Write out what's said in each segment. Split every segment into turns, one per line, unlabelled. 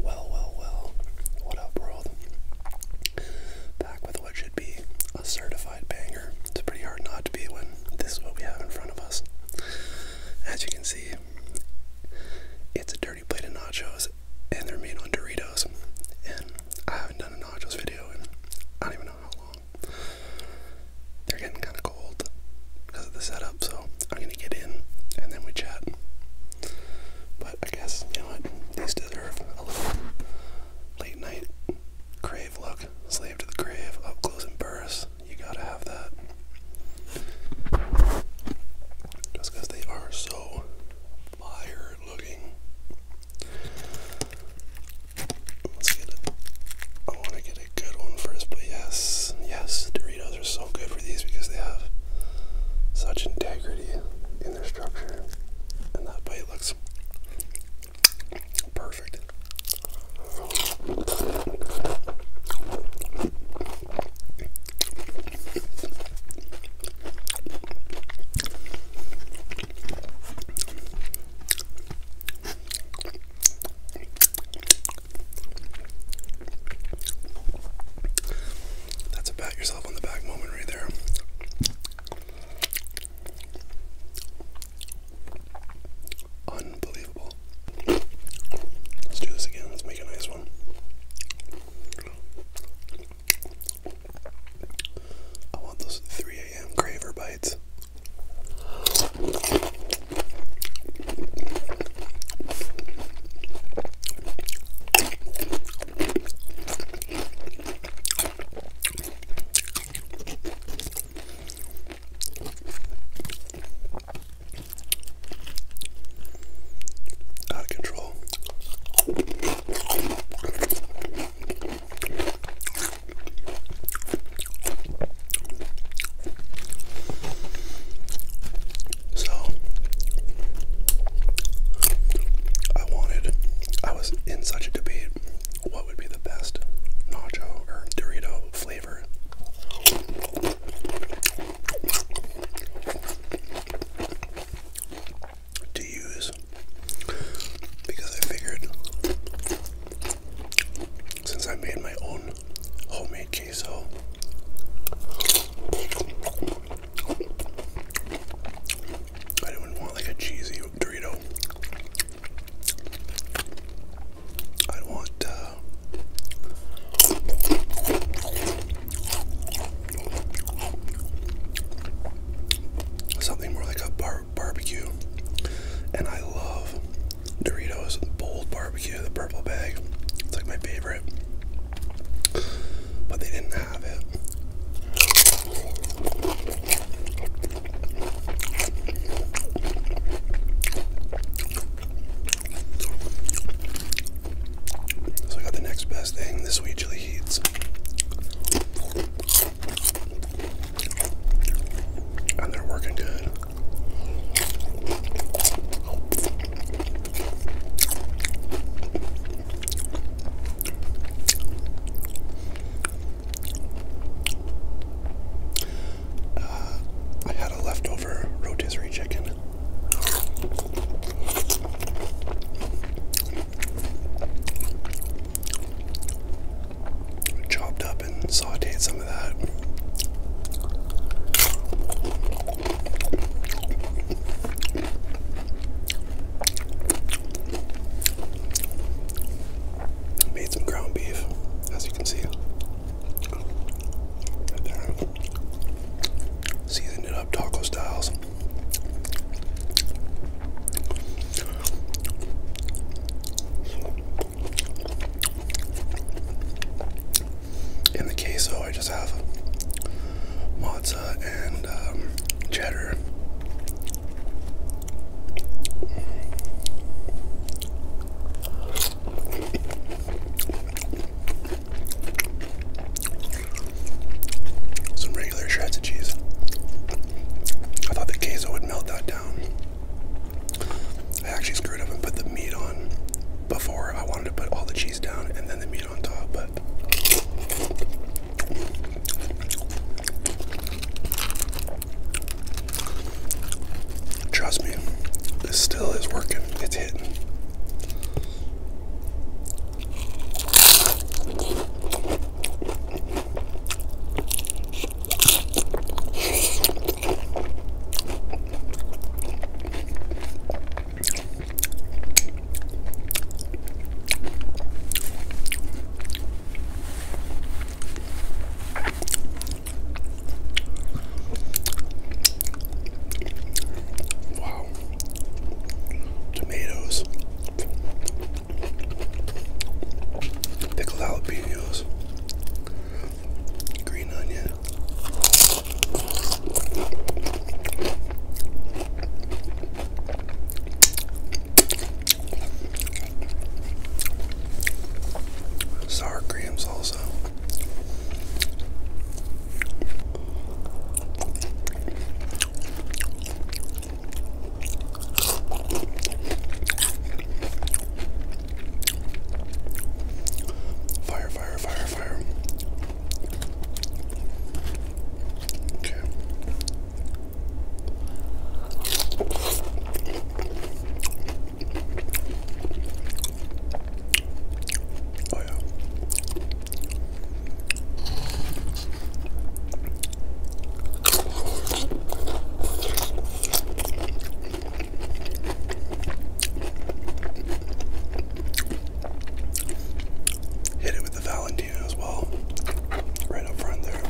Well, well, well. What up, world? back with what should be a certified banger. It's pretty hard not to be when this is what we have in front of us. As you can see, it's a dirty plate of nachos, and they're made on Doritos. And I haven't done a nachos video in I don't even know how long. They're getting kind of cold because of the setup, so I'm gonna get in and then we chat. But I guess, you know what? These deserve a little late night grave look. Slave to the grave, up close and burst. You gotta have that. Just they are so fire looking. Let's get it. I want to get a good one first, but yes, yes, Doritos are so good for these because they have such integrity and that bite looks perfect. That's a pat yourself on the back moment right there. Unbelievable. Let's do this again. Let's make a nice one. I want those 3 a.m. craver bites. Out of control. So I wanted I was in such a debate what would be the best nacho or Dorito flavor. To use because I figured since I made my own homemade queso, I do not want like a cheesy Dorito. i want uh, something more like a bar barbecue. And I love Doritos Bold Barbecue, the purple bag. It's like my favorite. But they didn't have So I got the next best thing, the sweet chili heats. And they're working good. Uh, I had a leftover rotisserie chicken. Chopped up and sauteed some of that. Made some ground beef, as you can see. Seasoned it up taco styles. In the queso, I just have mod and um, cheddar. Some regular shreds cheese. I thought the queso would melt that down. I actually screwed up and put the meat on before. I wanted to put all the cheese down and then the meat on top, Trust me, this still is working. It's hitting. Wow. Tomatoes. Pickled jalapenos. Green onion. Sour creams also. Fire, fire, fire, fire. Hit it with the Valen as well, right up front there.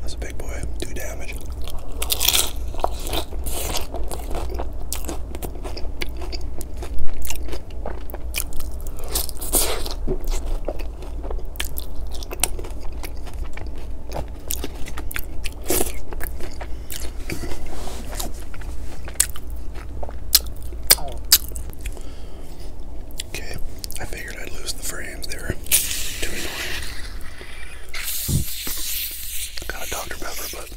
That's a big boy, do damage. Okay, I figured I'd lose the frames. They were too annoying got a Dr. Pepper, but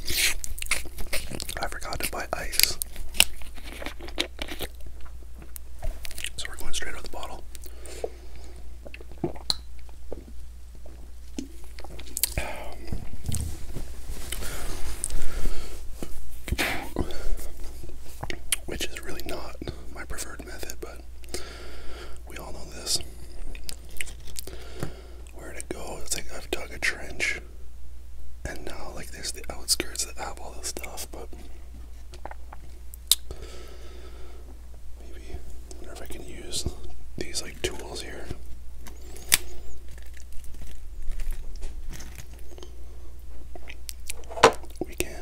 I forgot to buy ice. So we're going straight out the bottle. Which is really not my preferred method, but we all know this. Where to go? It's like I've dug a trench, and now like there's the outskirts that have all this stuff, but maybe I wonder if I can use these like tools here. We can.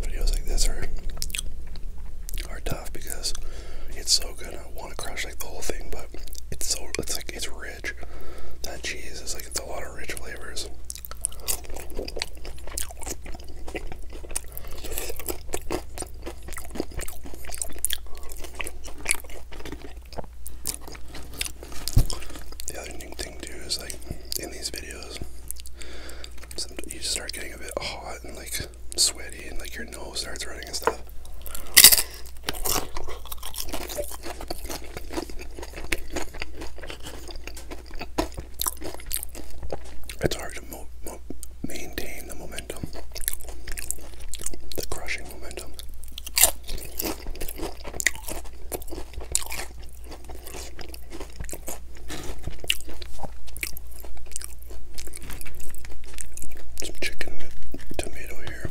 Videos like this are are tough because it's so good. I want to crush like the whole thing, but it's so it's like it's rich. That cheese is like it's a lot of rich flavors. The other new thing too is like in these videos, you start getting a bit hot and like sweaty, and like your nose starts running and stuff. It's hard to maintain the momentum, the crushing momentum. Some chicken with tomato here.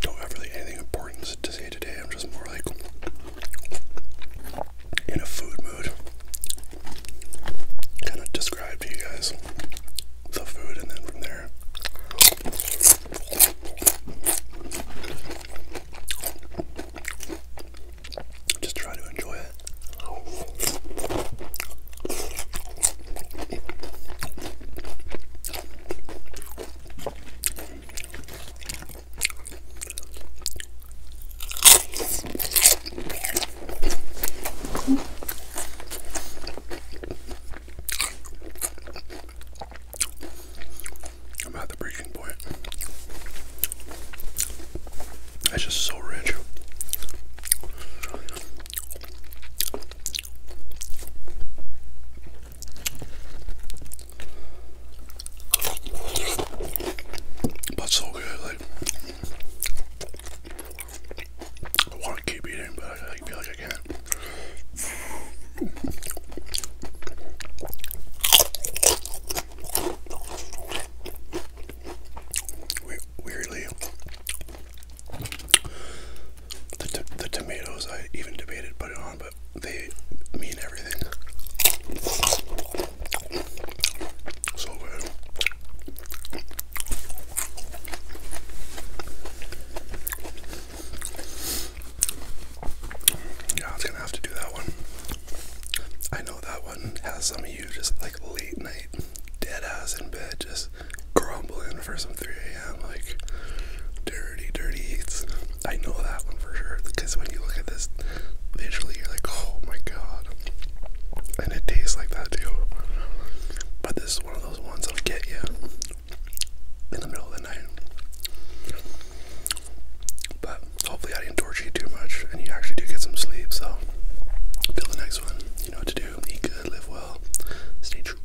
Don't have really anything important to say today. I'm just more like in a food mood. Kind of describe to you guys the food, and then from there, just try to enjoy it. I'm at the breaking point. That's just so rich. But so good, like I want to keep eating, but I feel like I can't. Weirdly, the, the tomatoes I even debated putting on, but they mean everything. Yeah, I gonna have to do that one. I know that one has some of you just like late night, dead ass in bed, just grumbling for some 3 a.m. like dirty, dirty eats. I know that one for sure because when you look at this visually, you're like, oh my god. And it tastes like that too. But this is one of those ones that'll get you in the middle of the night. But hopefully, I didn't torture you too much and you actually do get some sleep. So, until the next one, you know what to do. Eat good, live well, stay true.